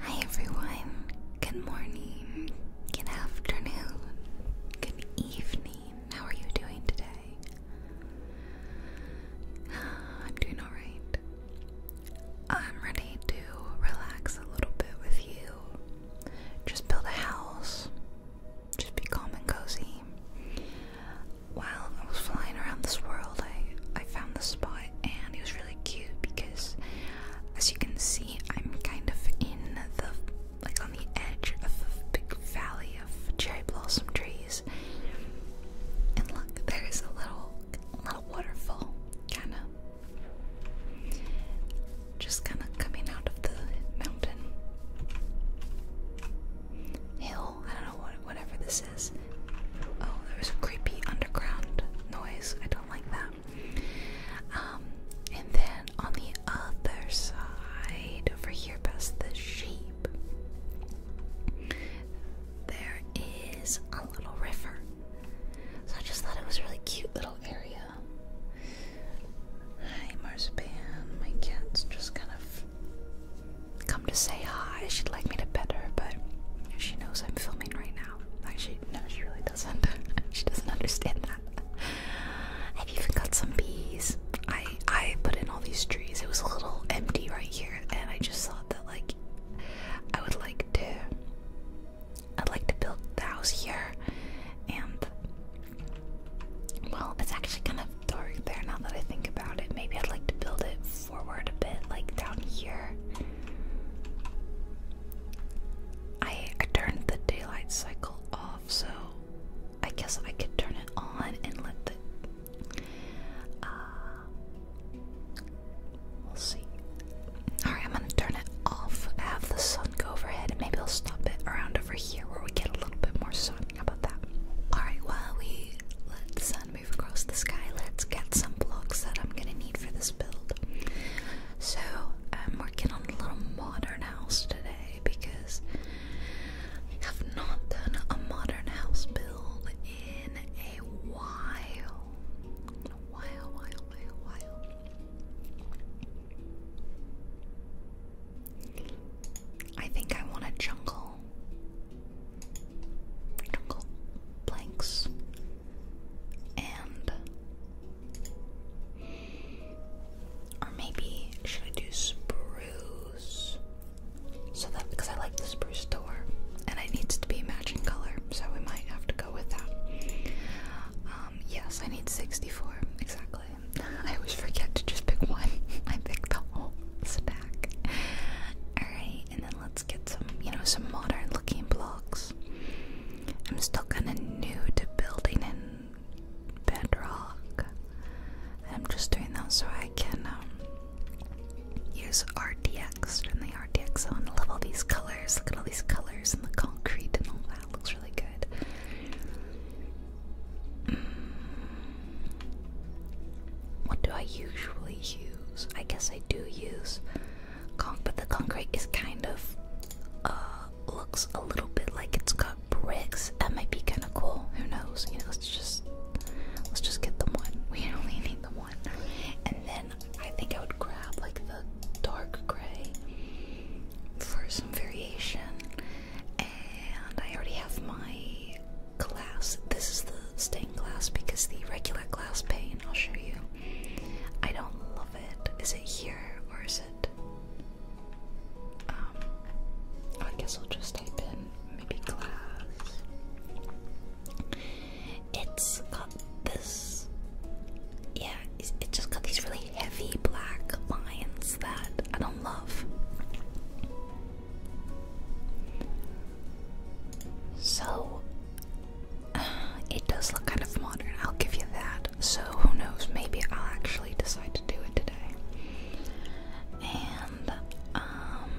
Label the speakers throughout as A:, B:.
A: Hi everyone, good morning, good afternoon, good evening. How are you doing today? I'm doing alright. I'm ready to relax a little bit with you. Just build a house, just be calm and cozy. While I was flying around this world, I, I found this spot and it was really cute because as you can see I'm kind of in the like on the edge of a big valley of cherry blossom trees. And look, there is a little little waterfall kinda just kinda coming out of the mountain hill. I don't know what whatever this Oh, there was a creepy underground noise. I don't like that. Um, and then on the other side, over here past the sheep, there is a little river. So I just thought it was a really cute little area. Hi, Marspan. My cat's just kind of come to say hi. She'd like me to pet her, but she knows I'm filming right Actually, no, she really doesn't. she doesn't understand that. I've even got some bees. I I put in all these trees. It was a little empty right here, and I just thought that like I would like to. I'd like to build the house here, and well, it's actually kind of dark there now that I think about it. Maybe I'd like to build it forward a bit, like down here. I turned the daylight cycle off, so I guess I could turn it on and let the uh, we'll see. Alright, I'm gonna turn it off, have the sun go overhead, and maybe I'll stop it around over here where we get a little bit more sun. about that? Alright, well we let the sun move across the sky. Let's get some blocks that I'm gonna need for this build. So I'm working on a little modern house today because I have not done a modern house build in a while. A while, while, while, while. I think I want a jungle. Jungle planks and or maybe should I do spruce? So that because I like the spruce door and it needs to be matching color, so we might have to go with that. Um, yes, I need 64 exactly. I always forget to just pick one. I picked the whole stack. Alright and then let's get some, you know, some modern looking blocks. I'm still kind of new to building in bedrock. I'm just doing that so I can um, use RDX oh, and the RDX on. I love all these colors. Look at all these colors and the concrete and all that. Looks really good. Mm. What do I usually use? I guess I do use but the concrete is kind of uh, looks a little bit like it's got bricks. That might be kind of cool. Who knows? You know, let's just let's just get the one. We only need the one. And then I think I would grab like the dark gray for some variation. And I already have my glass. This is the stained glass because the regular glass pane, I'll show you, I don't love it. Is it here or is it? Um, oh, I guess I'll just type in maybe glass. It's got this. Yeah, it's, it just got these really heavy black lines that I don't love. So, It does look kind of modern, I'll give you that. So who knows, maybe I'll actually decide to do it today. And um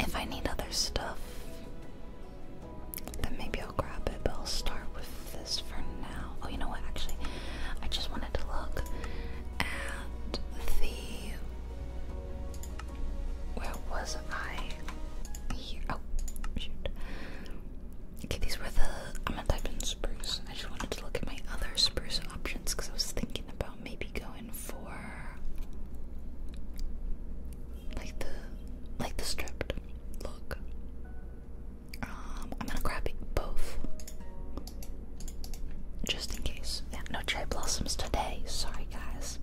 A: if I need other stuff, then maybe I'll grab it, but I'll start with this for now. Oh you know what actually I just wanted to look at the where was I? Oh, shoot. Okay, these were the. I'm gonna type in spruce. I just wanted to look at my other spruce options because I was thinking about maybe going for like the like the stripped look. Um, I'm gonna grab both just in case. Yeah, no cherry blossoms today. Sorry, guys.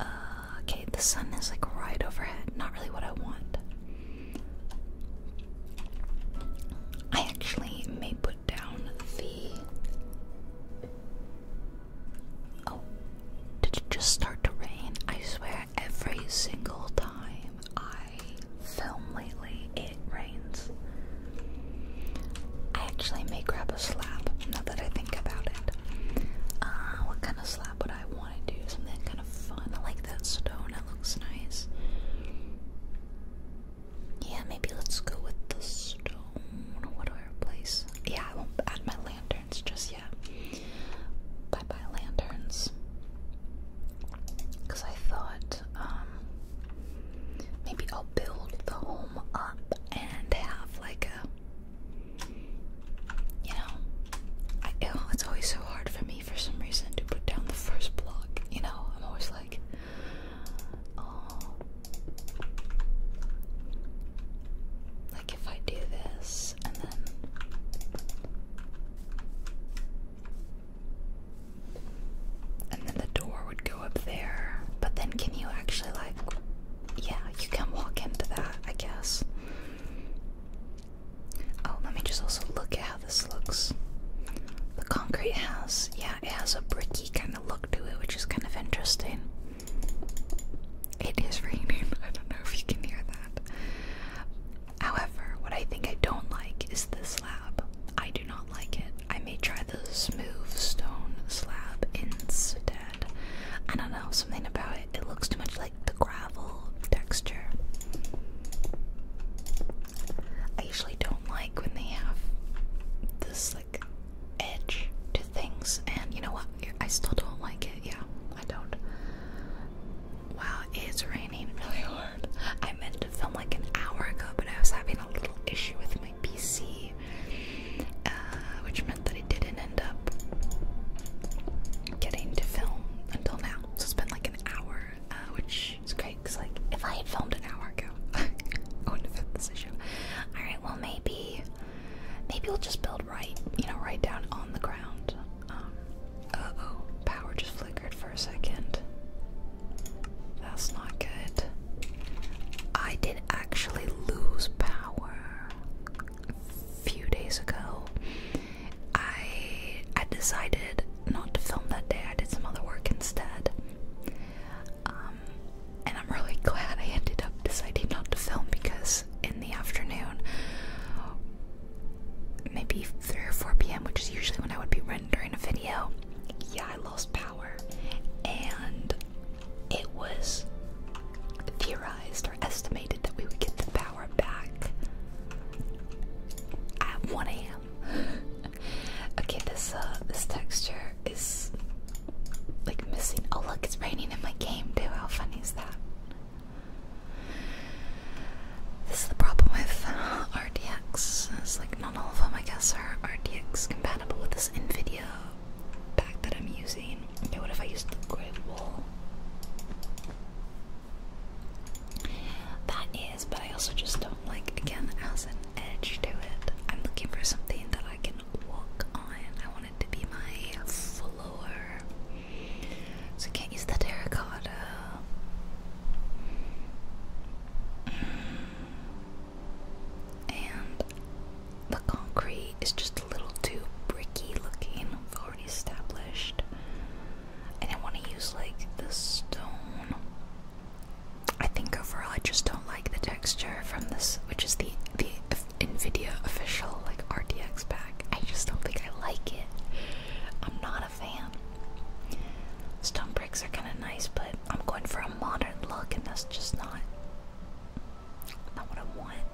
A: Uh, okay, the sun is like right overhead. Not really what I want. I actually may put down the. Oh, did it just start to rain? I swear, every single time I film lately, it rains. I actually may grab a slap. now that I think about it. Uh, what kind of slab would I want to do? Something kind of fun. I like that stone, it looks nice. Yeah, maybe let's go with the stone. What do I replace? Yeah, I won't add my lanterns just yet. Bye bye, lanterns. Because I thought um, maybe I'll build the home up and have like a you know, it's always so hard for me for some reason to put down the first block. You know, I'm always like, oh, like if I do this and then. And then the door would go up there. But then, can you actually, like, yeah, you can walk into that, I guess. Oh, let me just also look at how this looks. The concrete has, yeah, it has a bricky kind of look to it, which is kind of interesting. It is raining. I don't know if you can hear that. However, what I think I don't like is the slab. I do not like it. I may try the smooth stone slab instead. I don't know, something about it, looks too much like the gravel texture. I usually don't like when they have this like edge to things, and you know what? I still don't like it. Yeah, I don't. Wow, it's raining really hard. I meant to film like an hour ago, but I was having a little issue with my PC, uh, which that I didn't end up getting to film until now. So it's been like an hour, uh, which is great because, like, if I had filmed an hour ago, I wouldn't have had this issue. Alright, well, maybe. Maybe we'll just build right, you know, right down on the ground. uh oh, power just flickered for a second. That's not good. I did actually lose power a few days ago, I I decided not to film that day. I did some other work instead. Um, and I'm really glad I ended up deciding not to film because in the afternoon, maybe 3 or 4 p.m., which is usually when I would be rendering a video, yeah, I lost power. And it was theorized or estimated stated that we would get the power back at 1 a.m. okay, this uh, this texture is like missing. Oh look, it's raining in my game too. How funny is that? This is the problem with uh, RTX. It's like not all of them, I guess, are RTX compatible with this NVIDIA pack that I'm using. Okay, what if I use the gray wool? That is, but I also just don't like, again, as an edge to it. I'm looking for something that I can walk on. I want it to be my floor. So can't use the terracotta. And the concrete is just a little too bricky looking, i already established. And I want to use like the stone. I think overall I just don't like the texture from this, which is the the Nvidia official like RTX pack. I just don't think I like it. I'm not a fan. Stone bricks are kind of nice, but I'm going for a modern look, and that's just not not what I want.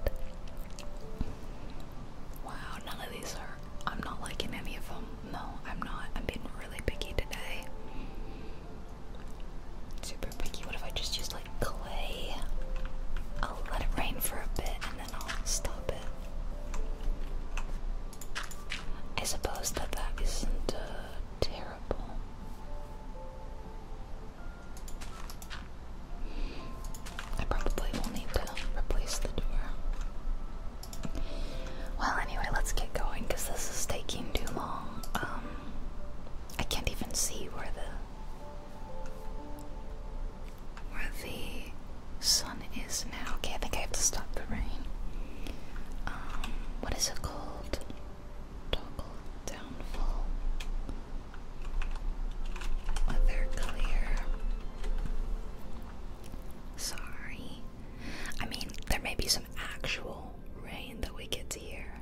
A: Wow, none of these are. I'm not liking any of them. No, I'm not. I'm being really picky today. Super picky. What if I just use like clay? I'll let it rain for a bit and then I'll stop it. I suppose that that isn't uh, terrible. I probably will need to replace the door. Well, anyway, let's get going because this is taking too long. Um, I can't even see where the where the sun is now. Okay, I think I have to stop the rain. Um, what is it called? Toggle downfall. Leather clear. Sorry. I mean, there may be some actual rain that we get to hear.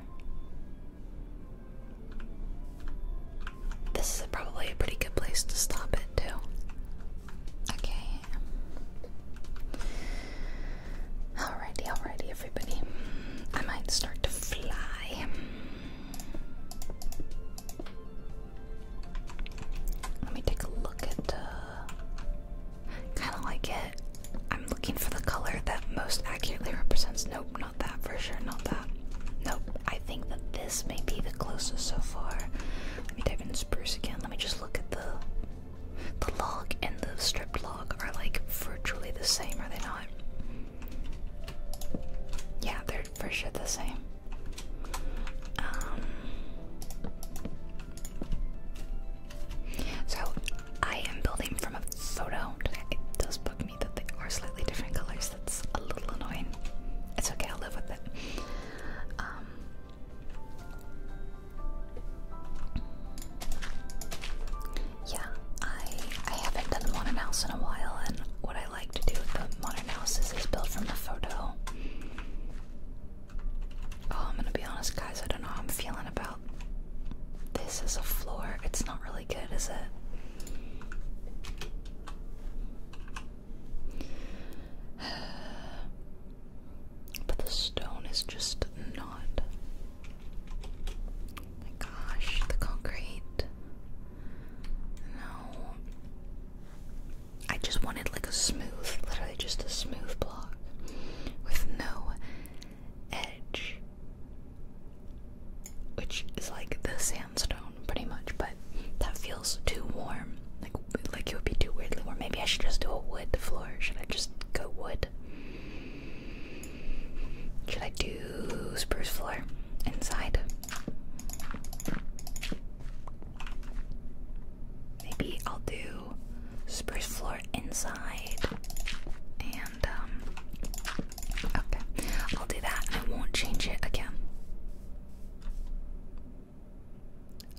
A: This is probably a pretty good place to stop it, too. Okay. Alrighty, alrighty, everybody. I might start to fly. Let me take a look at. kind of like it. I'm looking for the color that most accurately represents. Nope, not that for sure. Not that. Nope. I think that this may be the closest so far. Let me dive in spruce again. Let me just look at the. The log and the stripped log are like virtually the same, are they not? Yeah, they're for sure the same. Um, so I am building from a photo. It does bug me that they are slightly different colors. That's a little annoying. It's okay, I'll live with it. Um, yeah, I I haven't done one in house in a while, and what I like to do with the modern houses is built from the photo. Oh, I'm gonna be honest, guys, I don't know how I'm feeling about this as a floor. It's not really good, is it? But the stone is just not. my gosh, the concrete. No. I just wanted like a smooth, literally just a smooth block with no edge. Which is like the sandstone pretty much, but that feels too warm. Like like it would be too weirdly warm. Maybe I should just do a wood floor. Should I just go wood? Should I do spruce floor inside? Maybe I'll do spruce floor inside and um, okay. I'll do that I won't change it again.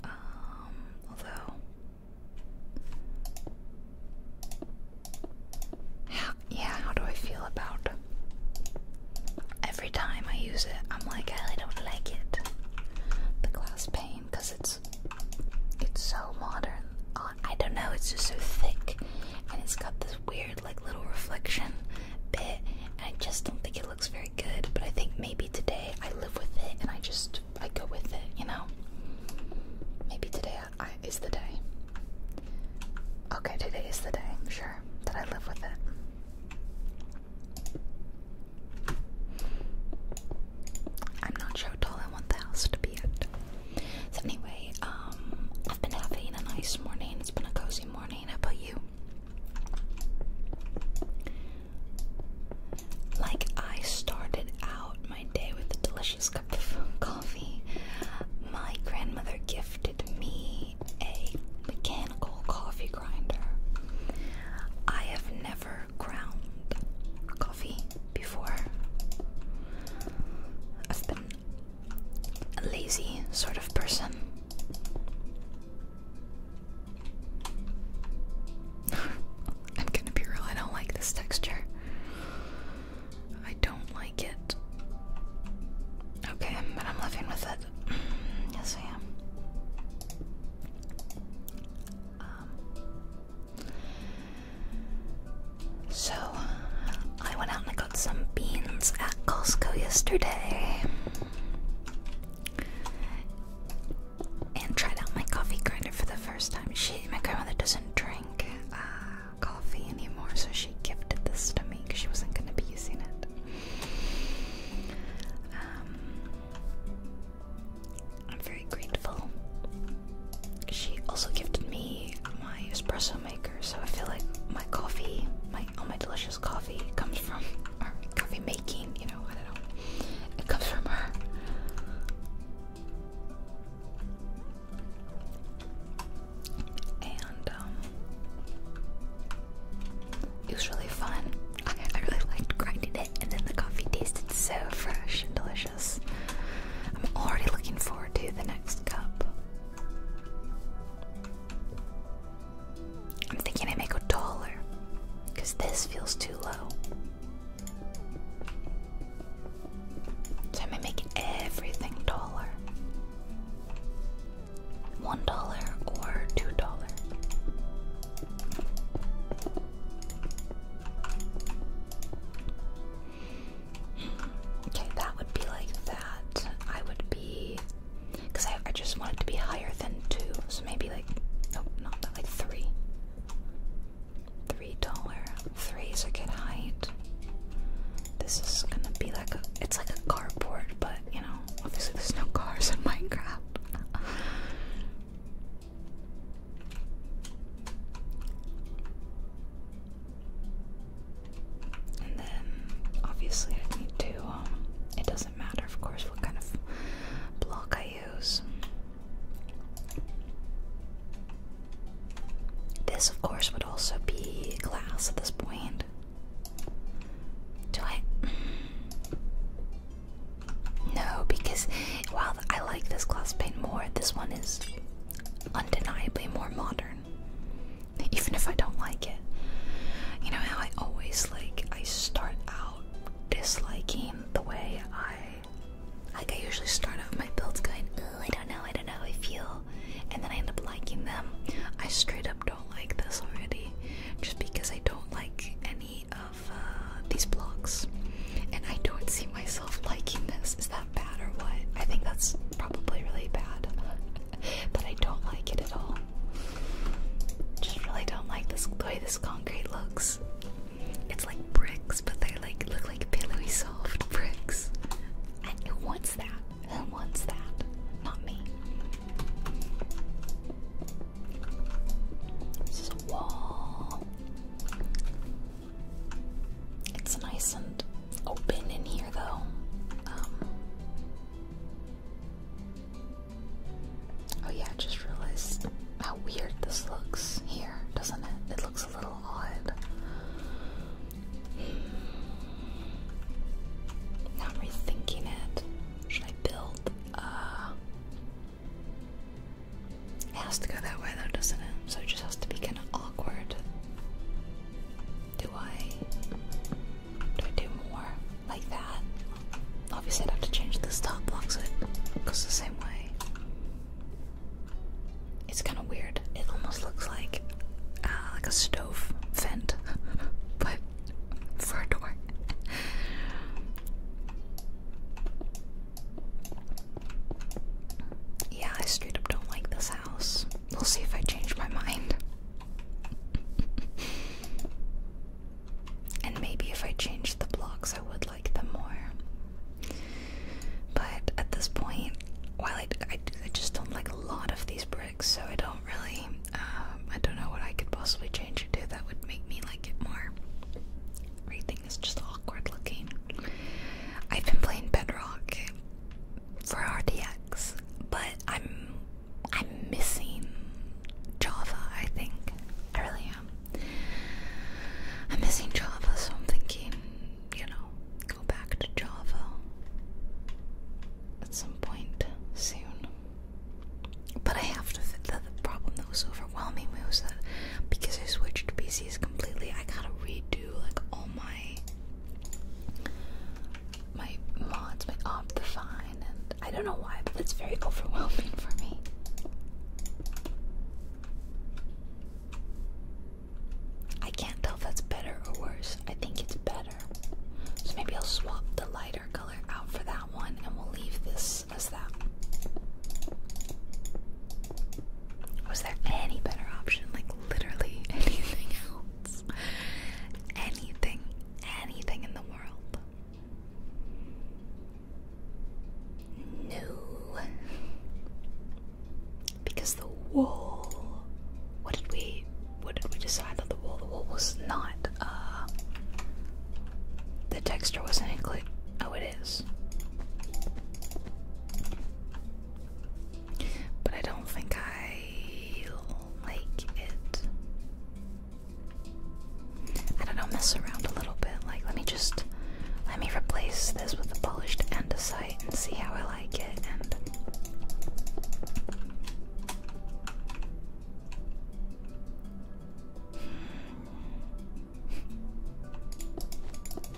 A: Um although how, yeah, how do I feel about every time I use it, I'm like, I don't like it. The glass pane, because it's it's so modern. Oh, I don't know, it's just so thick, and it's got this weird like little reflection bit, and I just don't think it looks very good. But I think maybe today I live with it, and I just I go with it, you know. Maybe today I, is the day. Okay, today is the day. Sure, that I live with it. I'm not sure how tall I want the house to be at. So anyway, um, I've been having a nice morning. It's been a cozy morning. about you? Like I started out my day with a delicious cup of coffee. My grandmother gifted me a mechanical coffee grinder. I have never ground coffee before. I've been a lazy sort of person. I'm gonna be real, I don't like this texture. I don't like it. Okay, but I'm living with it yes, I am. Um, so, I went out and I got some beans at Costco yesterday and tried out my coffee grinder for the first time. She, my grandmother doesn't drink uh, coffee anymore, so she gifted this to me because she wasn't going to be using it. Um, I'm very grateful. She also gifted me my espresso maker, so I feel like my coffee, my all my delicious coffee, comes from or coffee making. You know, I don't know. It comes from her. And um, it was really fun. I, really liked grinding it, and then the coffee tasted so fresh and delicious. I'm already looking forward to the next cup. I'm thinking I make go taller, because this feels too low. So I may make everything taller one dollar or two dollars. Okay, that would be like that. I would be, because I, I just want it to be higher than two, so maybe like, nope, not like three. Three dollar. Three is a good height. This is gonna be like a, it's like a cardboard, but you know, Obviously, there's no cars in Minecraft. and then, obviously, I need to. Um, it doesn't matter, of course, what kind of block I use. This, of course, would also be glass at this point. Do I? No, because while I like this glass paint more, this one is undeniably more modern. Even if I don't like it. You know how I always like I start out disliking the way I like I usually start out my builds going, oh I don't know, I don't know how I feel and then I end up liking them. I straight up up don't like this already just because I don't like any of uh, these blocks and I don't see myself liking this. Is that bad or what? I think that's probably really bad. but I don't like it at all. Just really don't like this the way this concrete looks. It's like bricks, but they like look like pillowy soft bricks. And who wants that? Who wants that? Not me. This a wall. It's nice and open in here, though. Um, oh, yeah, just realized how weird this looks here, doesn't it? It looks a little odd. Hmm. Not rethinking it. Should I build? Uh, it has to go that way though, doesn't it? So it just has to be kind of awkward. Do I? Do I do more like that? Obviously, i have to change this top block so it goes the same way. It's kind of weird. It almost looks like uh, like a stove vent, but Fur door. yeah, I straight up don't like this house. We'll see if I change my mind. and maybe if I change the blocks, I would like them more. But at this point, while I, I just don't like a lot of these bricks, so I don't really um, I don't know what I could possibly change it to that would make me like it more. Everything is just awkward looking. I've been playing Bedrock for RDX, but I'm I'm missing Java. I think I really am. I'm missing Java, so I'm thinking, you know, go back to Java at some point soon. But I have to. The, the problem that was overwhelming was that because I switched PCs completely, I gotta redo like all my my mods, my Optifine, and I don't know why, but it's very overwhelming for me. I can't tell if that's better or worse. I think it's better. So maybe I'll swap the lighter color out for that one and we'll leave this as that. Was there any better option? Like literally anything else? Anything, anything in the world? No. Because the wall. What did we what did we decide on the wall? The wall was not, uh, the texture wasn't included. Oh, it is. But I don't think I like it. I don't know, mess around a little bit. Like, let me just, let me replace this with a polished endosite and see how I like it.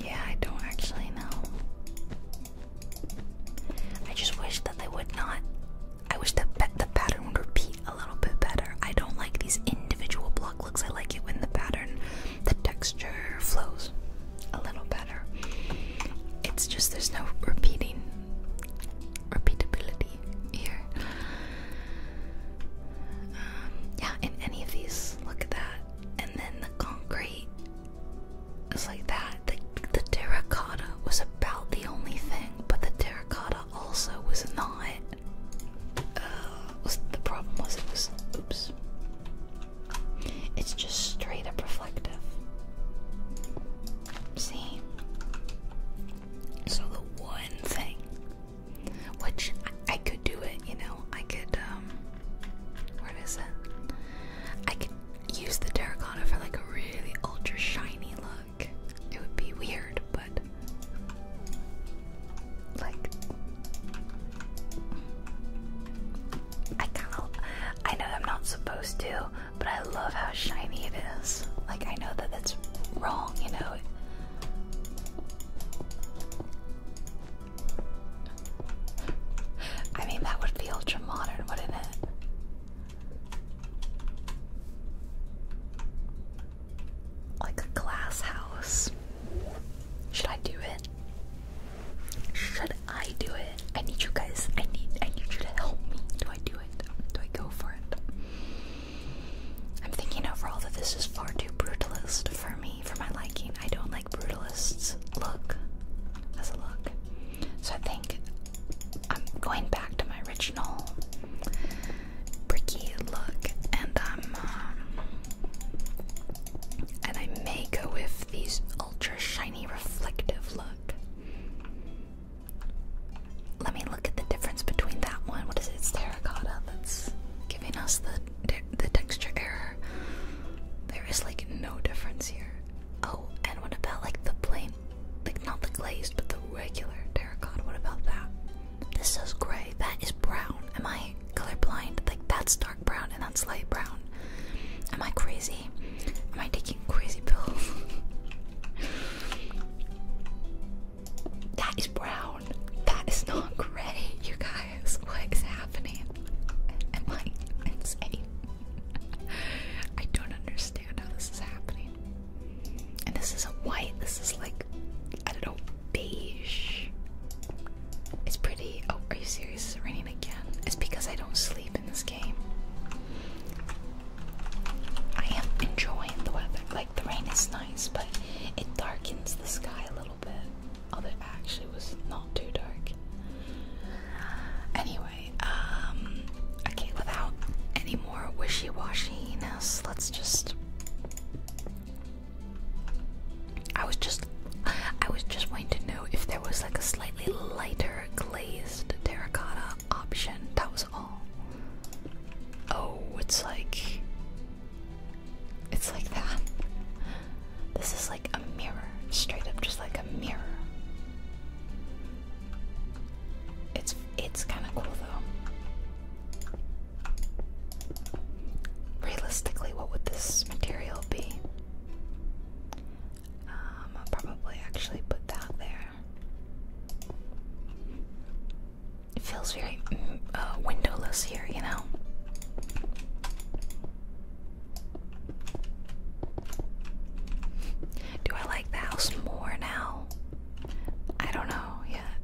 A: Yeah, I don't actually know. I just wish that they would not. I wish that the pattern would repeat a little bit better. I don't like these individual block looks. I like it when the pattern, the texture flows a little better. It's just there's no repeating repeatability pretty here. Um, yeah, in any of these, look at that. And then the concrete is like that. The, terracotta was about the only thing, but the terracotta also was not. Uh, the problem was it was oops. It's just straight up reflective. See, so the one thing, which I, could do it, you know, I could, um, where is it? I could use the terracotta for like a really ultra shiny look. It would be weird, but like, I kind of, I know I'm not supposed to, but I love how shiny it is. Like, I know that that's wrong, you know. I mean, that would be ultra modern, wouldn't it? Like a glass house. Should I do it? Should I do it? I need you guys. I need I need you to help me. Do I do it? Do I go for it? I'm thinking overall that this is far too brutalist for me, for my liking. I don't like brutalists look as a look. So I think I'm going back to my original bricky look and I'm um, and I may go with these ultra shiny reflective look. Let me look at the difference between that one. What is it? terracotta that's giving us the the texture error. There is like no difference here. Oh, and what about like the plain, like not the glazed, but the regular terracotta? What about that? This is gray. That is brown. Am I colorblind? Like that's dark brown and that's light brown. Am I crazy? Am I taking crazy pills? That is brown. That is not gray, you guys. What is happening? Am I insane? I don't understand how this is happening. And this is white, this is like, I don't know, beige. It's pretty. Oh, are you serious? It's raining again? It's because I don't sleep in this game. I am enjoying the weather. Like the rain is nice, but it darkens the sky a little bit. Although it actually was not too dark. Anyway, um, okay, without any more wishy-washiness, let's just. I was just, I was just wanting to know if there was like a slightly lighter glazed terracotta option. That was all. Oh, it's like. It's like that. This is like a mirror. Straight up, just like a mirror. It's it's kind of cool though. Realistically, what would this material be? Um, I'll probably actually put that there. It feels very mm, uh, windowless here, you know? Do I like the house more now? I don't know yet.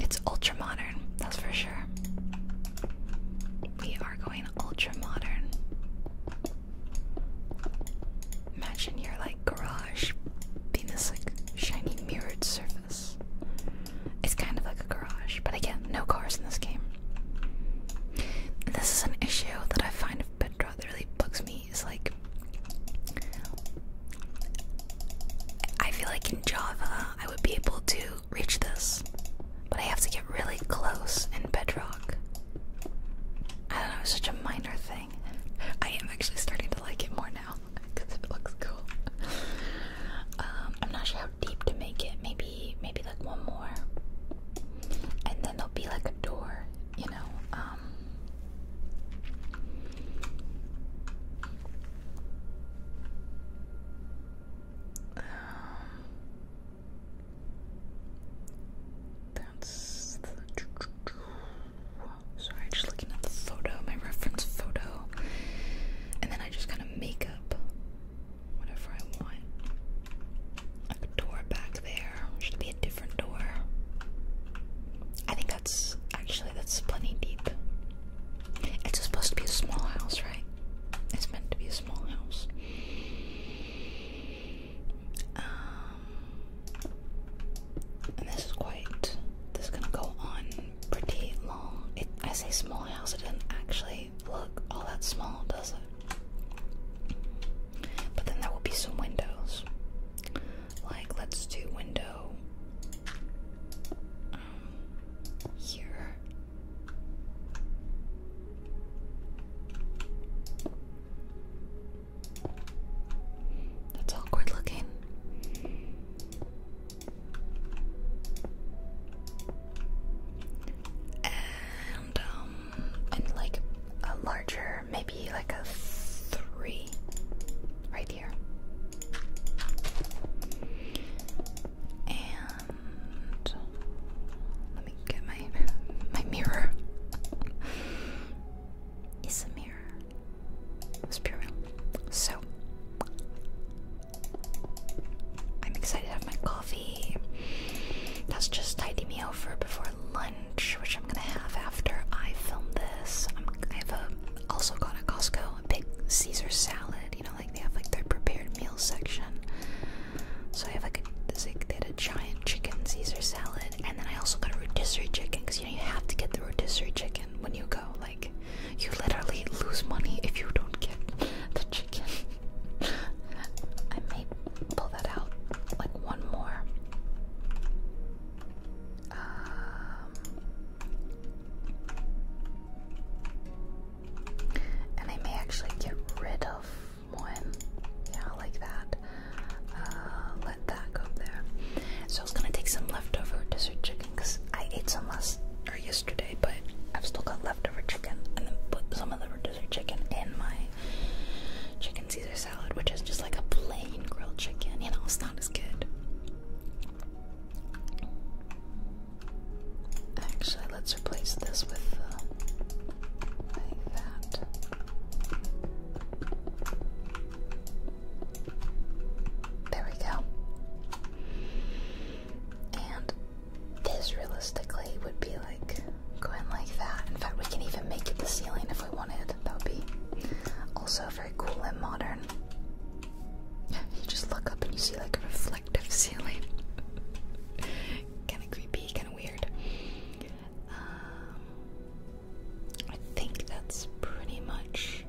A: It's ultra modern, that's for sure. We are going ultra modern. Imagine your like garage being this like shiny mirrored surface. It's kind of like a garage, but again, no cars in this game. This is an issue that I find of Bedra that really bugs me is like I feel like in Java I would be able to reach this, but I have to get really close in bedrock. I don't know, it's such a minor thing. I am actually starting to like it more now because it looks cool. Um, I'm not sure how deep to make it. Maybe, maybe like one more, and then there'll be like a door. You know. Um. Um, that's the sorry, just looking at the photo, my reference photo, and then I just kind of make up whatever I want. a door back there. Should be a different door. I think that's actually that's plenty deep. It's supposed to be a small house, right? It's meant to be a small house. Um, and this is quite. This is gonna go on pretty long. It, I say small house. It doesn't actually look all that small, does it? But then there will be some windows. Like let's do window um, here. That's awkward looking. And um and like a larger, maybe like a three right here. And let me get my my mirror. it's a mirror. It So I'm excited to have my coffee. That's just tidy me over before lunch, which I'm gonna have after I film this. I'm, I've uh, also got at Costco a big Caesar salad. You know, like they have like their prepared meal section. So I have like like, they had a giant chicken Caesar salad, and then I also got a rotisserie chicken you have to get the rotisserie chicken when you go. Like, you literally lose money if you don't get the chicken. I may pull that out like one more. Um, and I may actually get rid of one. Yeah, like that. Uh, let that go there. So I was gonna take some leftover dessert chicken because I ate some last or yesterday, but I've still got leftover chicken, and then put some of the dessert chicken in my chicken Caesar salad, which is just like a plain grilled chicken. You know, it's not as good. Actually, let's replace this with like uh, that. There we go. And this realistically would be like going like that. In fact, we can even make it the ceiling if we wanted. That would be also very cool and modern. You just look up and you see like a reflective ceiling. kind of creepy, kind of weird. Um, I think that's pretty much.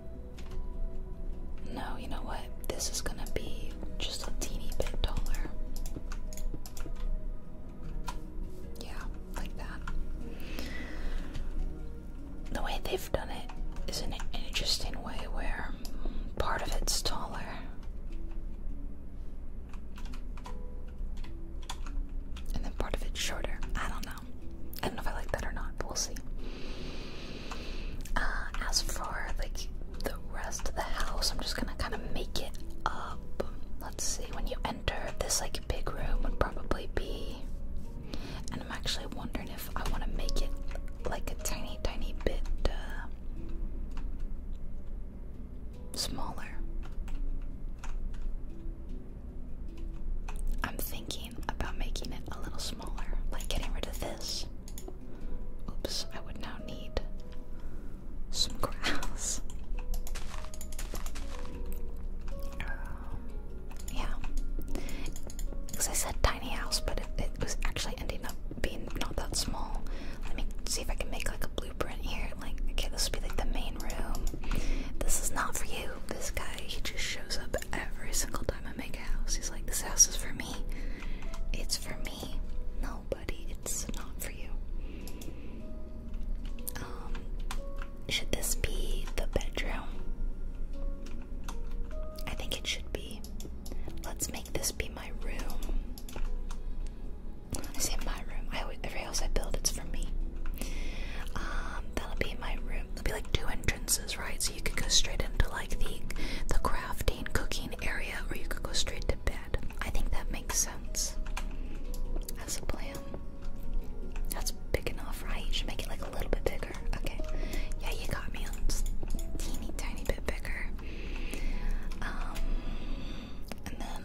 A: No, you know what? This is gonna be just a teeny bit taller. Yeah, like that. The way they've done it is an interesting way where part of it's taller. And then part of it's shorter. I don't know. I don't know if I like that or not, but we'll see. Uh, as for like the rest of the house, I'm just gonna kind of make it up. Let's see. When you enter this like big room, would probably be. And I'm actually wondering if I want to make it like a tiny, tiny bit uh, smaller. I'm thinking thinking about making it a little smaller, like getting rid of this. Oops, I would now need some grass. Um, yeah, because I said tiny house, but it was actually ending up being not that small. Let me see if I can make like a blueprint here. Like, okay, this would be like the main room. This is not for you. This guy, he just shows up every single time I make a house. He's like, this house is for me. It's for me. Nobody. it's not for you. Um, should this be the bedroom? I think it should be. Let's make this be my room. I say my room. I always, every I build, it's for me. Um, that'll be my room there'll be like two entrances, right? So you could go straight into like the the crafting, cooking area, or you could go straight to bed. I think that makes sense That's a plan. That's picking off. right? You should make it like a little bit bigger. Okay. Yeah, you got me on just teeny tiny bit bigger. Um, and then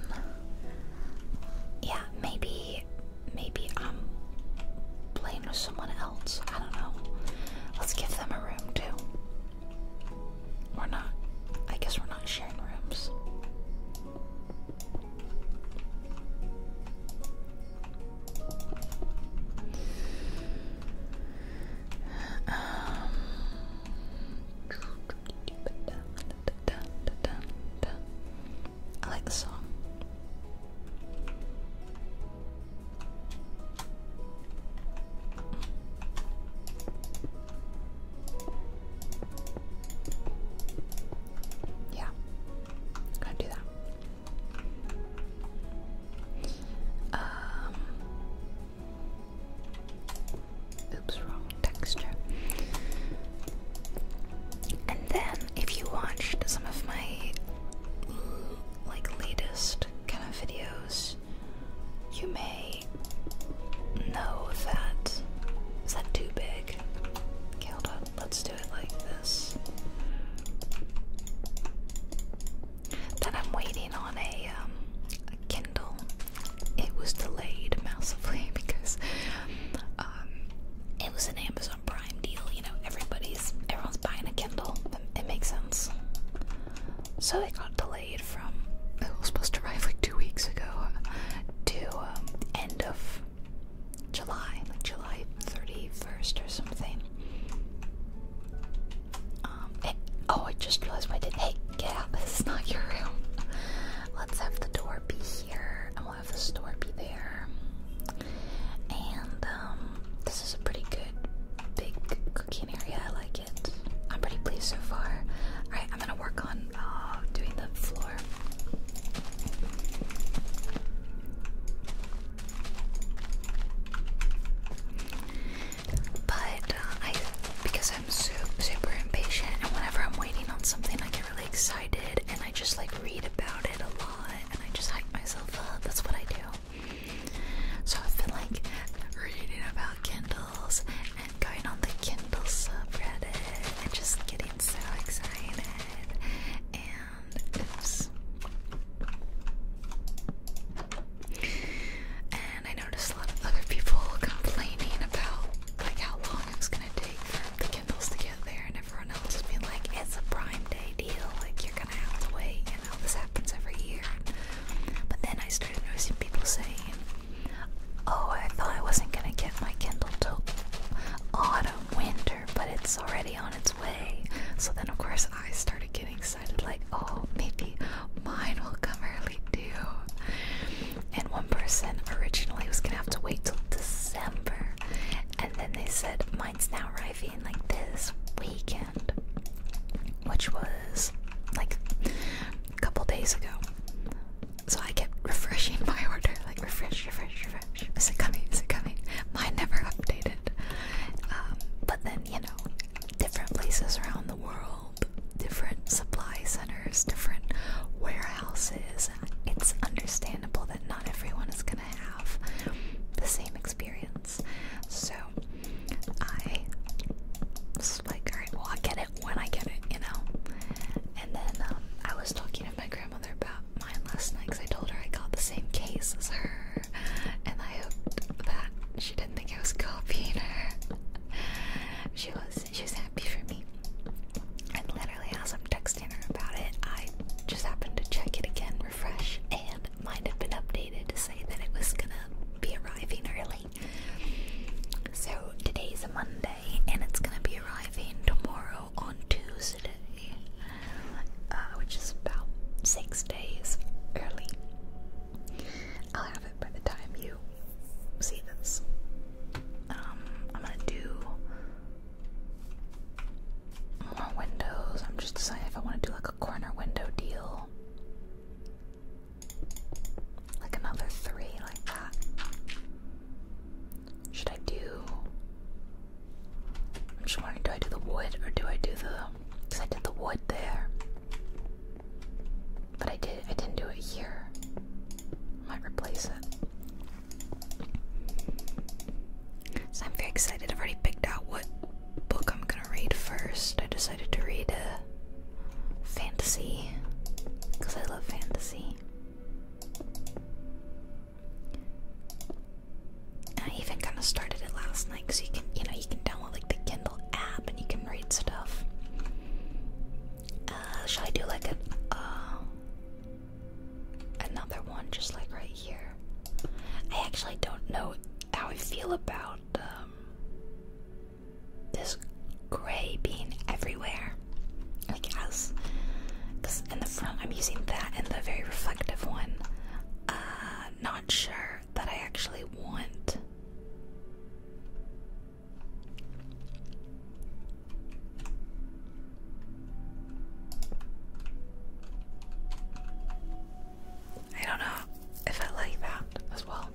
A: yeah, maybe maybe I'm playing with someone else. I don't know. Let's give them a room too. We're not I guess we're not sharing rooms. Um, I like the song. Yeah, gonna do that. Um, oops, wrong texture. And then, if you watched some of my like latest kind of videos, you may know that is that too big? Okay, hold on. Let's do it like this. Then I'm waiting on a um, Kindle. It was delayed massively because um, it was an Amazon prime deal, you know, everybody's everyone's buying a Kindle. It, makes sense. So it got delayed from it was supposed to arrive like two weeks ago to um, end of July, July 31st or something. Um, oh, I just realized I did. Hey, get out! This is not your room. Let's have the door be here i have the store be there. And um, this is a pretty good big cooking area. I like it. I'm pretty pleased so far. Alright, I'm gonna work on uh, doing the floor. But uh, I, because I'm so super impatient, and whenever I'm waiting on something, I get really excited, and I just like read about it a and I just hype myself up. That's what I do. So I've been like reading about Kindles and going on the Kindle subreddit and just getting so excited. And I noticed a lot of other people complaining about like how long it's gonna take for the Kindles to get there, and everyone else has been like, it's a Prime Day deal, like you're gonna have to wait, you know, this happens every year. But then I started noticing people saying, oh, I thought I wasn't gonna get my Kindle till autumn, winter, but it's already on its way. So then, of course, I started getting excited, like, oh, maybe mine will come early too. And one person originally was gonna have to wait till December, and then they said, mine's now arriving like this weekend, which was like a couple days ago. So I kept refreshing my order, like refresh, refresh, refresh. Is it coming? Is it coming? Mine never updated. Um, but then, you know, different places around the world, different supply centers, different warehouses. It's understandable that not everyone is going to have the same experience. So I was like, alright, well, i get it when I get it, you know? And then um, I was talking to my grandmother about mine last night because I told her I got the same case as her, and I hoped that she didn't think I was copying her. she was, she was happy for me. And literally, I'm texting about it, I just happened to check it again, refresh, and mine had been updated to say that it was gonna be arriving early. So today's a Monday, and it's gonna be arriving tomorrow on Tuesday, uh, which is about six days early. I'll have it by the time you see this. Um, I'm gonna do more windows. I'm just deciding if I want to do like a corner window deal. Like another three like that. Should I do I'm just wondering do I do the wood or do I do the because I did the wood there. But I did I didn't do it here. Might replace it. So I'm very excited. I've already picked out what book I'm gonna read first. I decided to read a uh, fantasy because I love fantasy. I even kind of started it last night because you can, you know, you can download like the Kindle app and you can read stuff. Uh, I do like a, uh, another one just like right here. I actually don't know how I feel about um, this gray being everywhere. Like as, in the front I'm using that and the very reflective one. Uh, not sure that I actually want. I don't know if I like that as well.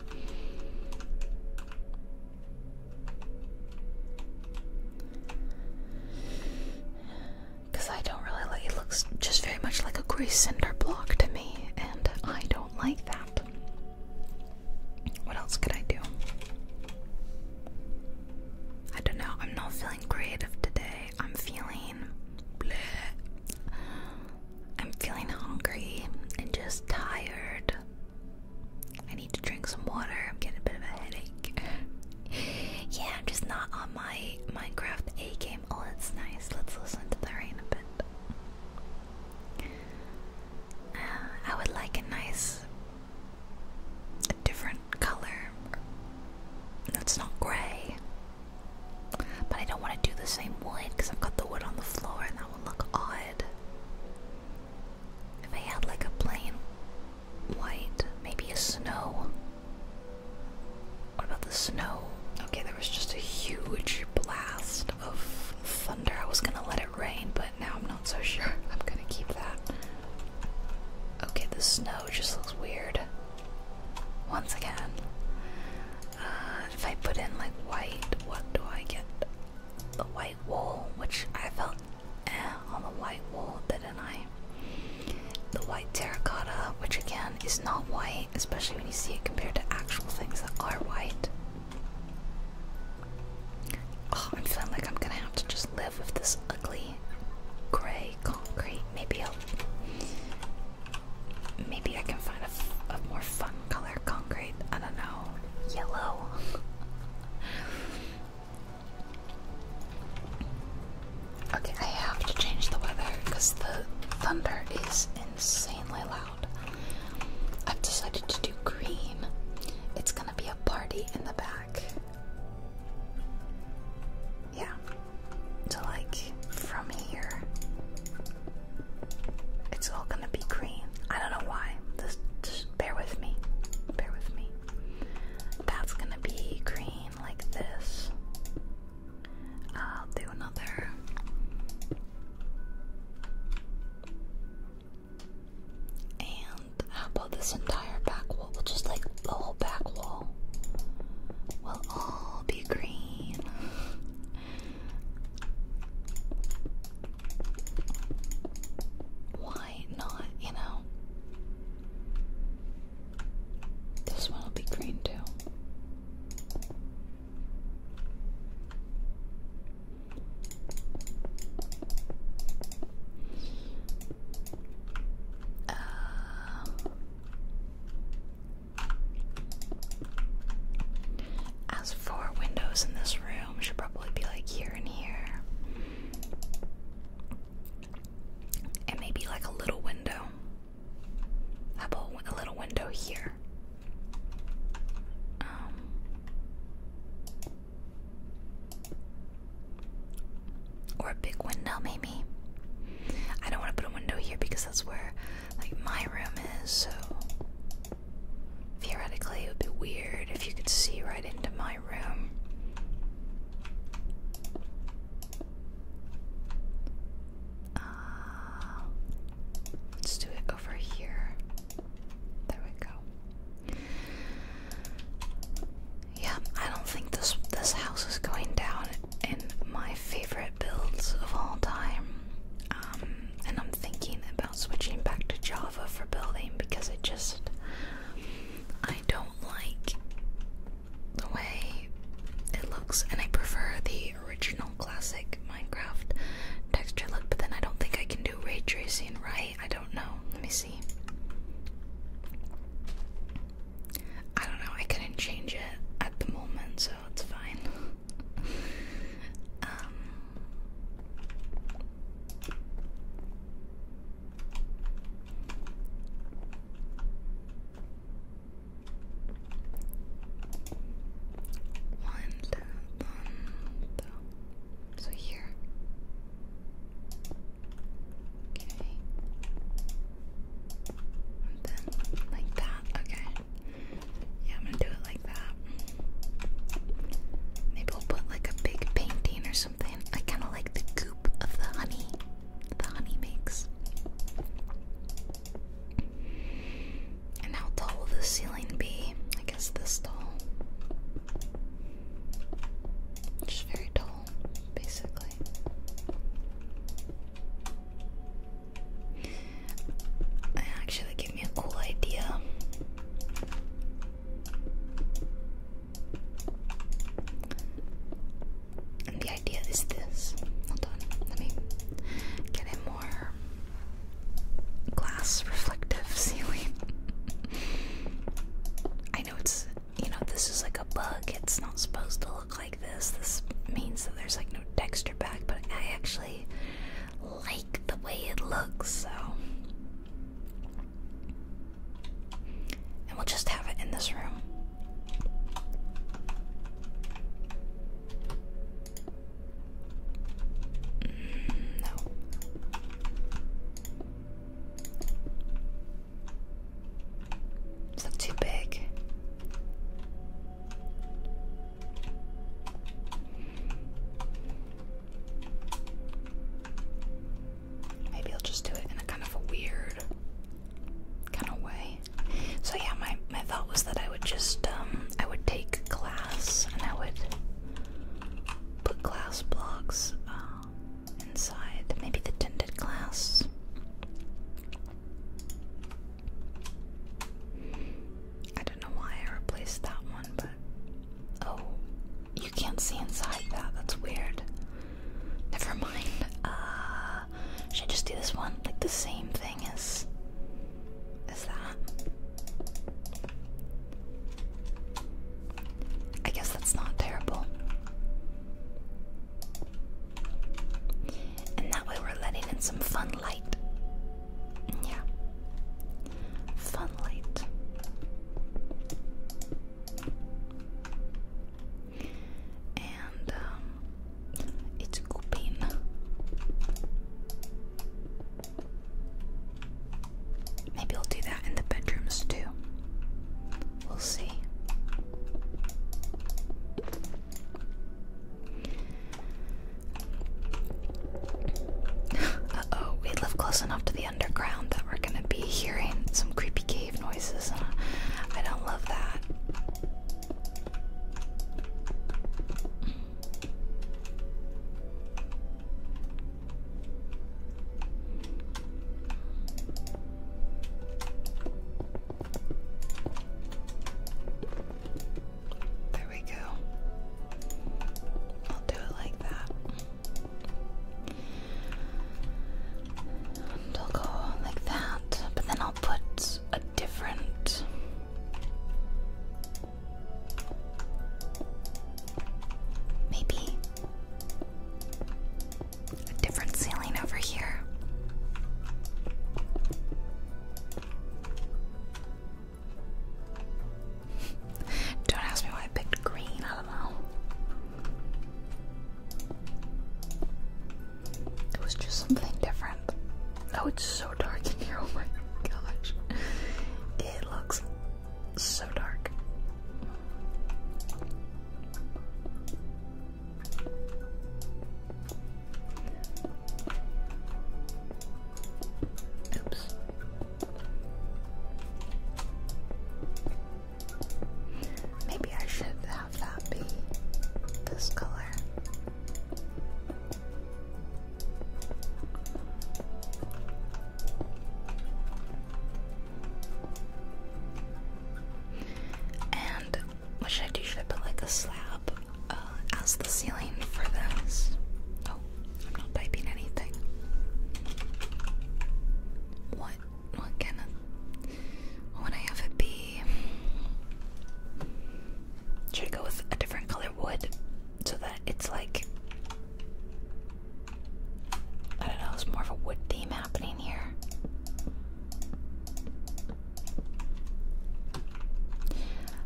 A: Because I don't really like it, looks just very much like a gray cinder block to me, and I don't like that. What else could I do? I don't know, I'm not feeling creative today. I'm feeling I'm feeling hungry and just tired. I need to drink some water. I'm getting a bit of a headache. yeah, I'm just not on my Minecraft A game. Oh, that's nice. Let's listen to the rain a bit. Uh, I would like a nice different color that's not gray. But I don't want to do the same wood because I've got the wood on the floor and that would look odd. If I had like a plain white, maybe a snow. What about the snow? Okay, there was just a huge blast of thunder. I was gonna let it rain, but now I'm not so sure. I'm gonna keep that. Okay, the snow just looks weird once again. Uh, if I put in like white, what do I get? The white wool, which I felt eh on the white wool, didn't I? The white terracotta, which again is not white, especially when you see it compared to actual things that are white. Oh, I'm feeling like I'm gonna have to just live with this ugly gray concrete. Maybe i maybe I can find a, a more fun color concrete. I don't know, yellow. okay, I have to change the weather because the thunder is insanely loud. I've decided to do green. It's gonna be a party in the back. Yeah, to like, from here, it's all gonna be green. I don't know why. just bear with me. Bear with me. That's gonna be green like this. I'll do another. And how about this entire back wall, just like the whole back wall will all be green. Why not, you know? This one will be green too. Um, as for windows in this room, should probably be like here and here. And maybe like a little window. a little window here? Um, or a big window maybe. I don't want to put a window here because that's where like my room is, so theoretically it would be weird if you could see right into my room. Uh, let's do it over here. There we go. Yeah, I don't think this this house is going down and my favorite builds of all time. Um, and I'm thinking about switching back to Java for building because it just I don't like the way it looks, and I prefer the original classic Minecraft texture look. But then I don't think I can do ray tracing, right? I don't know. Let me see. I don't know, I couldn't change it at the moment, so it's fine. um, So here. Okay. And then like that. Okay. Yeah, I'm gonna do it like that. Maybe we'll put like a big painting or something. I kind of like the goop of the honey. The honey makes. And how tall will the ceiling be? I guess this tall. Just very tall, basically. Actually, give me a cool idea. the idea is this. Hold on, let me get a more glass reflective ceiling. I know it's, you know, this is like a bug, it's not supposed to look like this. This means that there's like no texture back, but I actually like the way it looks, so. And we'll just have it in this room. Mm, no. It's not too big. Maybe I'll just do it in a kind of a weird kind of way. So yeah, my my thought was that I would just um, I would take glass and I would put glass blocks uh, inside. Maybe the tinted glass. I don't know why I replaced that one, but. Oh, you can't see inside that. That's weird. Never mind. Uh, should I just do this one? Like the same thing as. as that? I guess that's not terrible. And that way we're letting in some fun light. Yeah. Fun light. And um, it's open. Maybe we'll do that in the bedrooms too. We'll see. Uh-oh, we live close enough to the underground that we're gonna be hearing some creepy cave noises, I don't love that. There we go. I'll do it like that. I'll go like that, but then I'll put a different. Maybe a different ceiling over here. Don't ask me why I picked green, I don't know. It was just something different. Oh, it's so dark in here, oh my gosh. It looks so dark. Oops. Maybe I should have that be this color. And what should I do? Should I put like a slab uh, as the ceiling for this. Oh, I'm not piping anything. What? What can? I, what would I have it be? Should I go with a different color wood so that it's like I don't know. It's more of a wood theme happening here.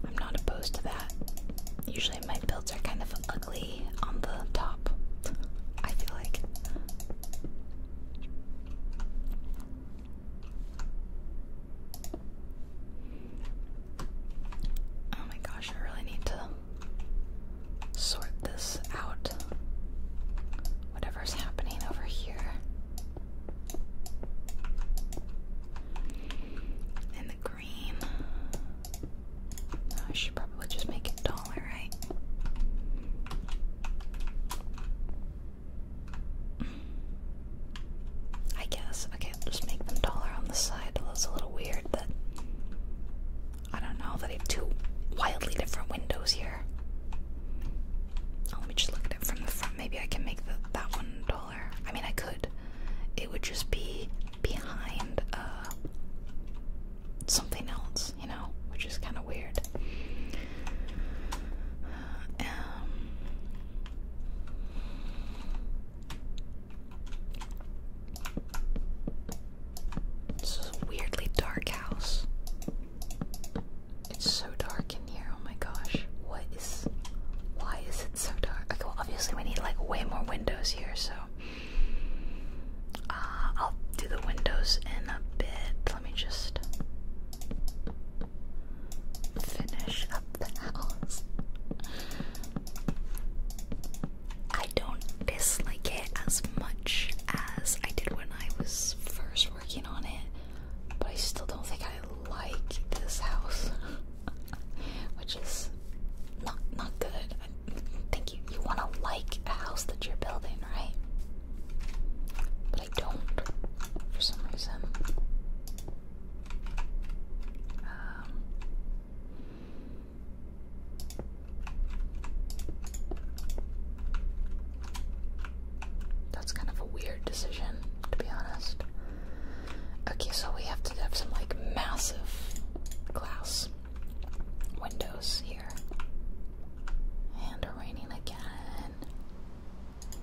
A: I'm not opposed to that. Usually my builds are kind of ugly on the top, I feel like. Oh my gosh, I really need to sort this out. Whatever's happening over here. And the green. Oh, I should probably just make it taller, right? I guess. Okay, I'll just make them taller on the side. It looks a little weird that. I don't know that I have two wildly different windows here. Oh, let me just look at it from the front maybe I can make that one taller. I mean, I could. It would just be behind uh, something else, you know, which is kind of weird. Um, this is a weirdly dark house. It's so dark in here. Oh my gosh. What is. Why is it so dark? Okay, well, obviously, we need like way more windows here, so. Uh, I'll do the windows in a bit. Let me just. Finish up the house. I don't dislike it as much as I did when I was first working on it, but I still don't think I like this house, which is not not good. I think you you want to like a house that you're building, right? But I don't for some reason. Um, that's kind of a weird decision, to be honest. Okay, so we have to have some like massive glass windows here. And raining again. Let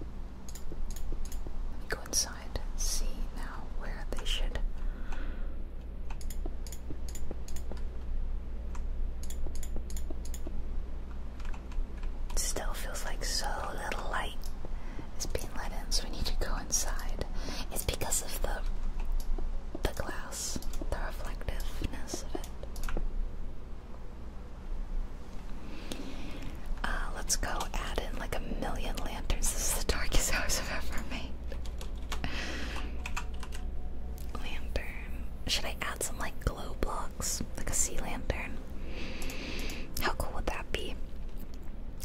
A: me go inside, see now where they should still feels like so little light is being let in, so we need to go inside. It's because of the the glass, the reflectiveness of it. Uh, let's go add in like a million lanterns. This is the darkest house I've ever made. Lantern. Should I add some like glow block? like a sea lantern. How cool would that be?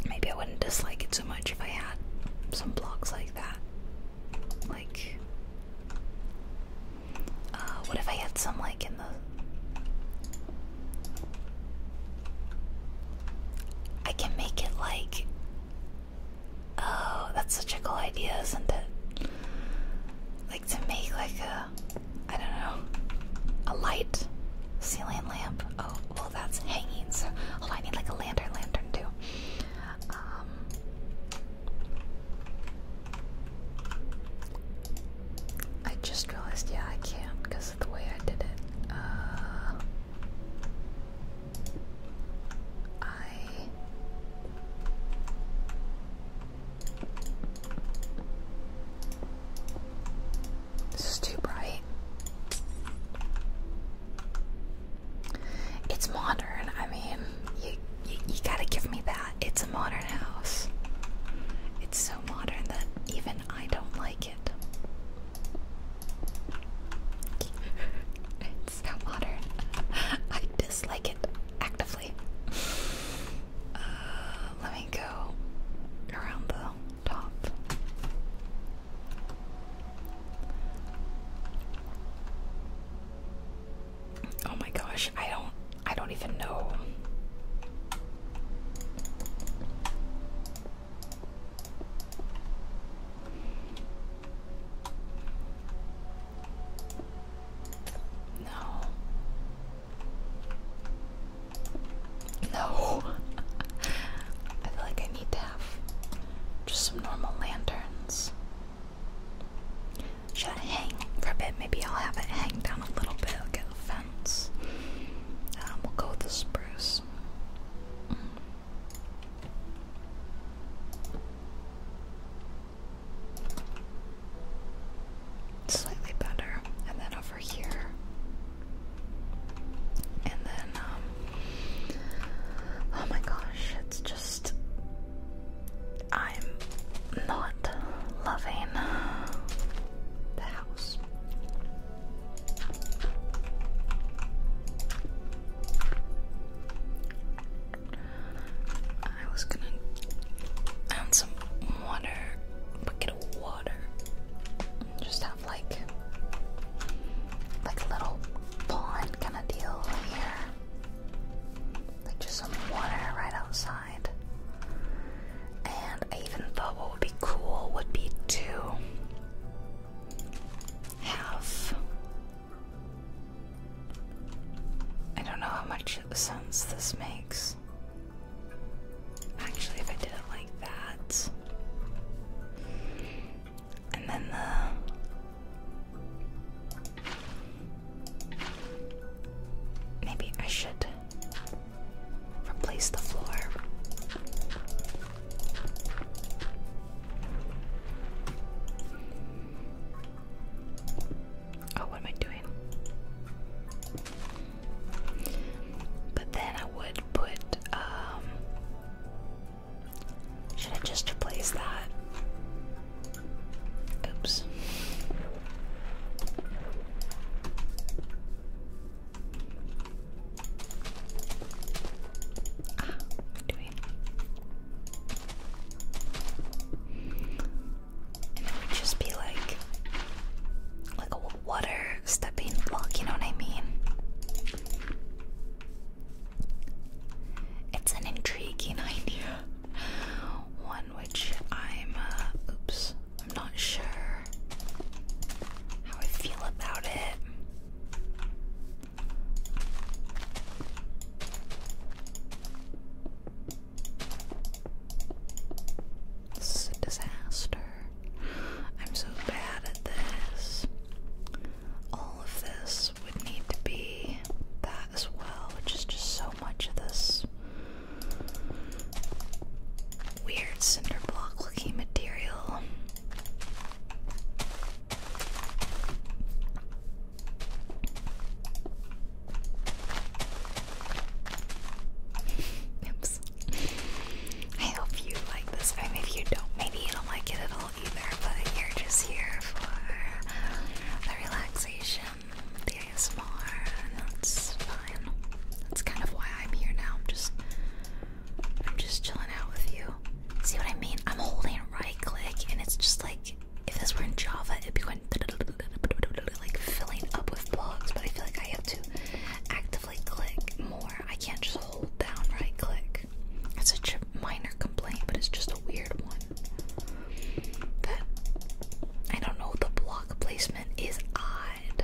A: Maybe I wouldn't dislike it so much if I had some blocks like that. Like, uh, what if I had some like in the. I can make it like. Oh, that's such a cool idea, isn't it? Like to make like a I don't know, a light, ceiling lamp. Oh, well, that's hanging. So, oh, I need like a lantern, lantern too. Um, I just realized, yeah, I can't because of the way I did it. Uh, I this is too bright. It's modern. I mean, you, you gotta give me that. It's a modern house. It's so modern that even I don't like it. it's so modern. I dislike it actively. Uh, let me go around the top. Oh my gosh, I don't I don't even know. No. No. I feel like I need to have just some normal lanterns. Should I hang for a bit? Maybe I'll have it hang down a little bit. I'll get a fence. Um, we'll go with the spruce. Mm. Slightly better. And then over here, and then, um, oh my gosh, it's just. I'm not loving the house. I was gonna add some water, water. just have like like a little pond kind of deal here. Like just some water right outside. And I even thought what would be cool would be to have I don't know how much sense this makes. Actually, if I did it like that, and then the maybe I should replace the floor. Oh, what am I doing? But then I would put, um, should I just replace that? Oops. what ah, do we? And it would just be like, like a water stepping block, you know what I mean? It's an intriguing idea. One which I'm, uh, oops, I'm not sure how I feel about it. This is a disaster. I'm so bad at this. All of this would need to be that as well, which is just so much of this weird cinder block looking material. Oops. I hope you like this. Or maybe you don't. Maybe you don't like it at all either, but you're just here for the relaxation, the ASMR, and that's fine. That's kind of why I'm here now. I'm just I'm just chilling out with you. See what I mean? I'm holding right click and it's just like if this were in Java it'd be going like filling up with blocks, but I feel like I have to actively actively click more. I can't just hold down right click. It's such a minor complaint, but it's just a weird one. That I don't know, the block placement is odd.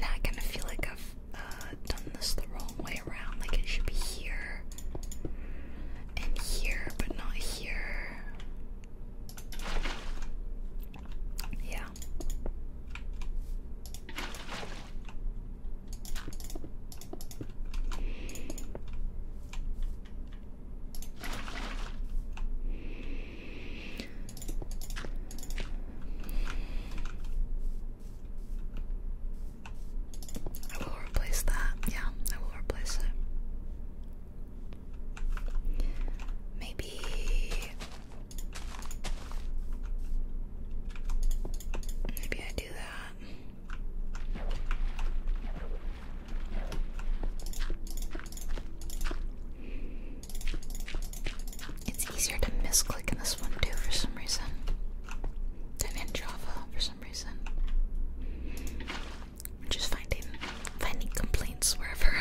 A: Now I kind of feel like I've uh, done this the wrong way around. Like it should be here and here, but not here. Yeah. I will replace that. Yeah, I will replace it. Maybe maybe I do that. It's easier to misclick in this one too for some reason than in Java for some reason just finding finding complaints wherever.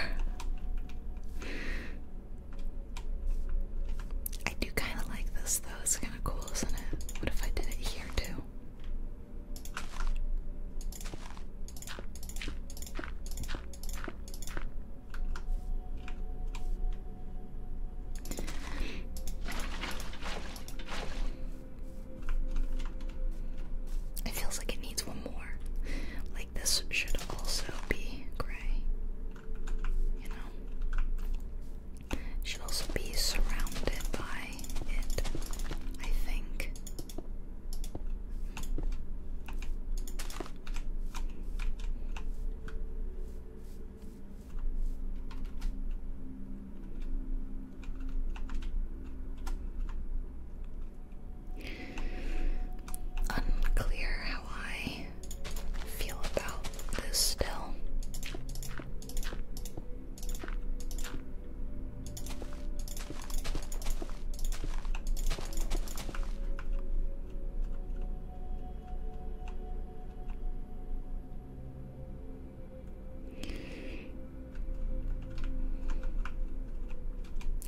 A: I do kind of like this though. It's kind of cool, isn't it? What if I did it here too? It feels like it needs one more this should also be gray. You know? Should also be surrounded by it, I think. Unclear how I feel about this still.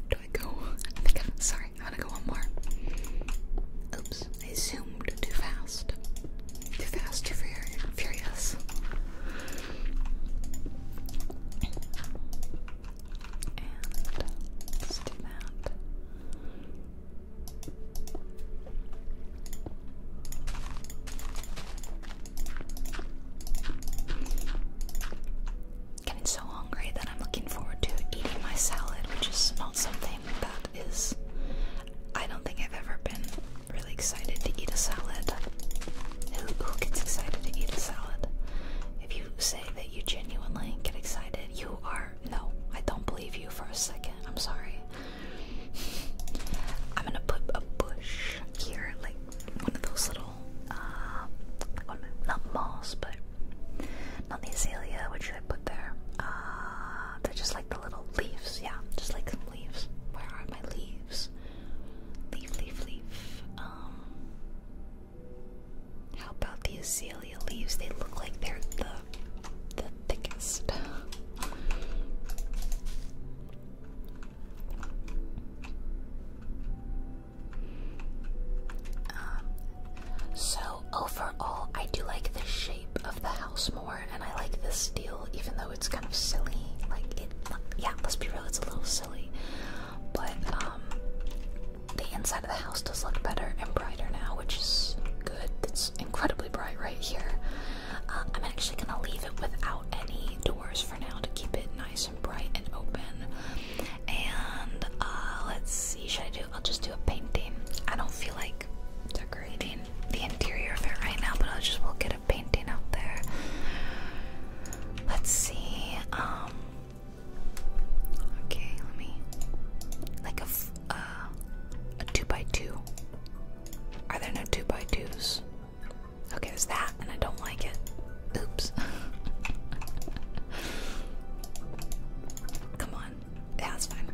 A: Do I go? I think I'm sorry, I'm gonna go one more. Oops, I zoomed too fast. Too fast, too furious. And let's do that getting so hungry that I'm looking forward to eating my salad, which is not something that is. I don't think I've ever been really excited to eat a salad. Who, gets excited to eat a salad? If you say that you genuinely get excited, you are. No, I don't believe you for a second. I'm sorry. I'm gonna put a bush here, like one of those little natural, um, uh, not moss, but not the azalea. What should I put there? Uh, they're just like the little leaves, yeah, just like some leaves. Where are my leaves? Leaf, leaf, leaf. Um, how about the azalea leaves? They look like they're the the thickest so overall, I do like the shape of the house more, and I like the steel even though it's kind of silly. Like it, yeah. Let's be real, it's a little silly, but um, the inside of the house does look better and brighter now, which is good. It's incredibly bright right here. Uh, I'm actually gonna leave it without any doors for now to keep it nicer and bright and open. And uh, let's see, should I do? I'll just do a painting. I don't feel like decorating the interior of it right now, but I'll just will get a painting out there. Let's see. Um. Okay, let me like a uh, a two by two. Are there no two by twos? Okay, there's that, and I don't like it. Oops. Come on. that's fine.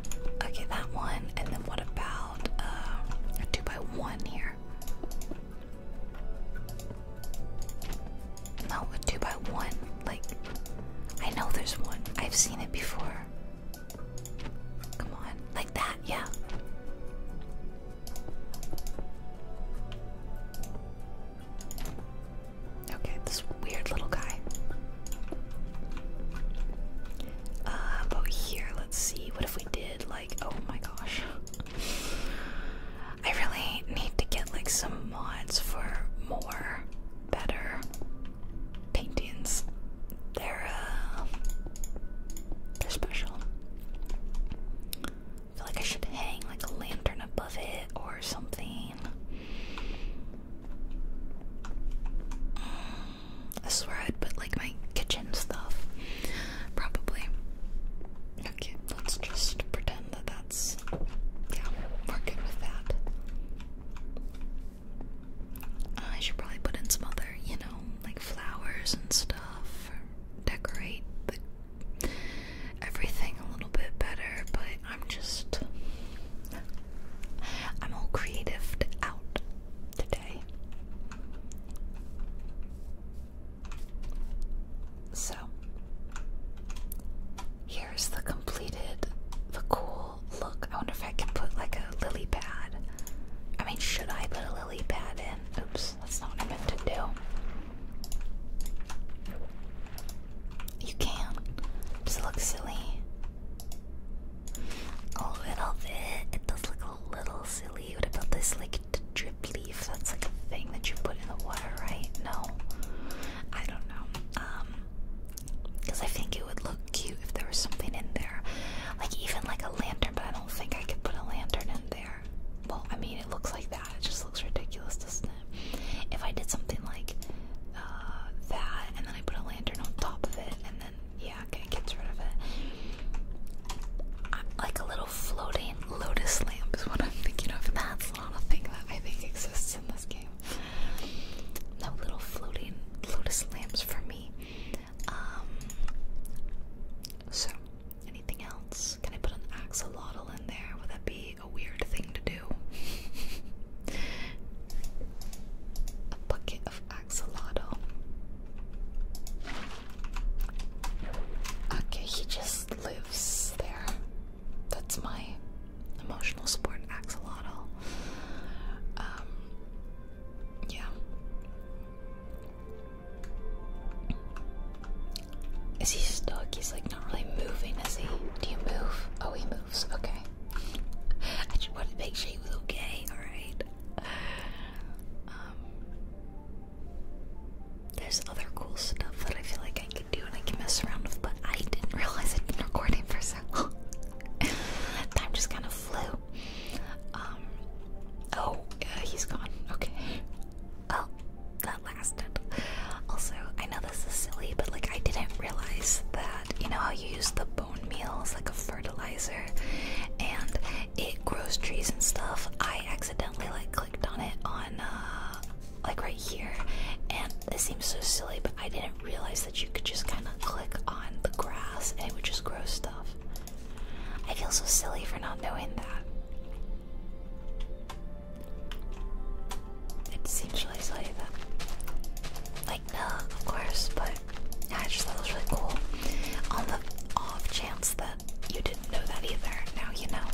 A: Okay, that one. And then what about uh, a 2 by 1 here? Not a 2 by 1. Like, I know there's one. I've seen it before. Come on. Like that, yeah. Okay, this weird little guy. Uh, about here, let's see. What if we did, like, oh my gosh. I really need to get, like, some mods for more, better paintings. They're, uh, they're special. I feel like I should hang like a lantern above it or something. Mm, I swear I'd put like my kitchen stuff. Probably. Okay, let's just pretend that that's. Yeah, we're good with that. I should probably put in some other, you know, like flowers and stuff. Or decorate the everything a little bit better, but I'm just I'm all creative out today. So here's the completed, the cool look. I wonder if I can put like a lily pad. I mean, should I put a lily pad in? Oops, that's not what I meant to do. You can. Does it look silly? A little bit. It does look a little silly. What about this, like, drip leaf? That's like a thing that you put in the water, right? No. I don't know. Um, because I think it would look cute if there was something in there. Like, even like a lantern, but I don't think I could put a lantern in there. Well, I mean, it looks like that. It just looks ridiculous, doesn't it? If I did something like uh, that, and then I put a lantern on top of it, and then yeah, okay, gets rid of it. like a little floating lotus lamp is what I'm thinking of. That's not a thing that I think exists in this game. No little floating lotus lamps for me. Um. So, anything else? Can I put an axolotl in there? Would that be a weird thing to do. a bucket of axolotl. Okay, he just lives there. That's my emotional support axolotl. Um, yeah. Is he stuck? He's like not really moving, is he? Do you move? Oh, he moves. Okay. I just wanted to make sure he was okay. All right. Um, there's other cool stuff that I feel like I could do and I can mess around with, but I didn't realize I'd been recording for so long. Time just kind of flew. Um. Oh, he's gone. Okay. Oh, that lasted. Also, I know this is silly, but like I didn't realize that you know how you use the bone meal as like a fertilizer and it grows trees and stuff. I accidentally like clicked on it on uh like right here and it seems so silly, but I didn't realize that you could just kind of click on the grass and it would just grow stuff. I feel so silly for not knowing that. It seems really silly, but like no, of course. But yeah, I just thought it was really cool. On the off chance that you didn't know that either, now you know.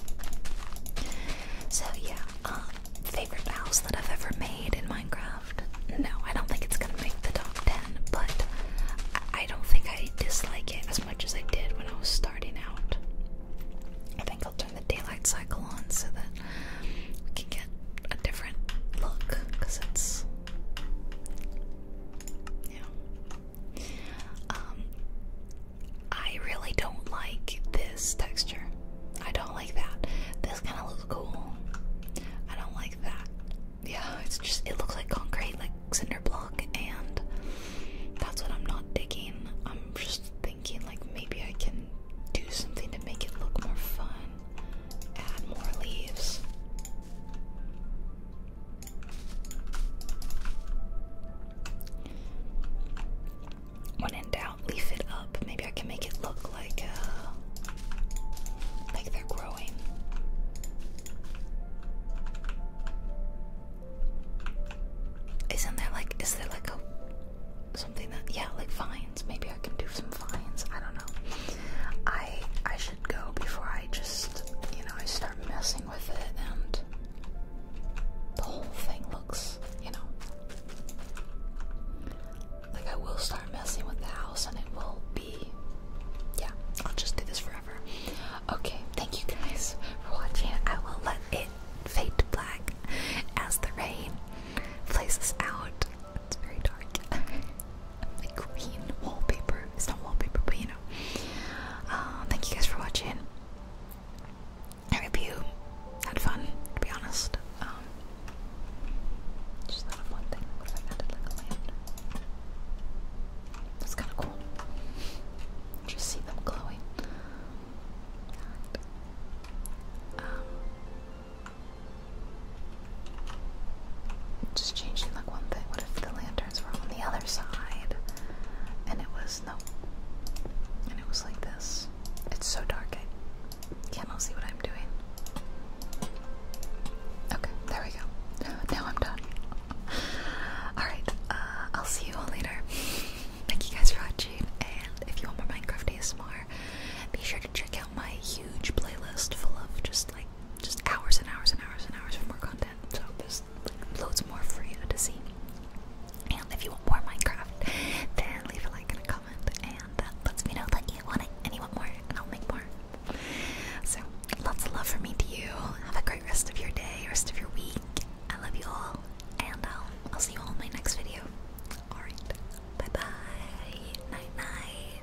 A: So yeah, um, favorite house that I've ever made in Minecraft. No, I don't think it's gonna make the top ten, but I, don't think I dislike it as much as I did when I was starting out. I think I'll turn the daylight cycle on so that we can get a different look because it's yeah um I really don't like this texture I don't like that this kind of looks cool I don't like that yeah it's just it looks like concrete like cinder block and that's what I'm not digging I'm just thinking thinking like maybe I can do something to make it look more fun. Add more leaves. When in doubt, leaf it up. Maybe I can make it look like uh, like they're growing. Isn't there like is there like a something that yeah, like fines. Maybe I can do some fines. I don't know. I I should go before I just you know I start messing with it and the whole thing looks you know like I will start messing with the house and it will be yeah I'll just do this forever. Okay, thank you guys for watching. I will let it fade to black as the rain plays us out. It's very dark. like green wallpaper. It's not wallpaper, but you know. Uh, thank you guys for watching. I hope you had fun, to be honest. Um, just thought one thing. What if I added That's kind of cool. Just see them glowing just changing like one thing. What if the lanterns were on the other side? And it was no. And it was like this. It's so dark I can't see what I'm doing. Okay, there we go. Now I'm done. Alright, uh, I'll see you all later. Thank you guys for watching, and if you want more Minecraft ASMR, be sure to check out my huge playlist full of just like just hours and hours and hours and hours of more content. So there's loads more for you to see. And if you want more Minecraft, then leave a like and a comment, and that uh, lets me know that you want it and you want more, and I'll make more. So lots of love for me to you. Have a great rest of your day, rest of your week. I love you all, and um, I'll see you all in my next video. Alright. Bye bye. Night night.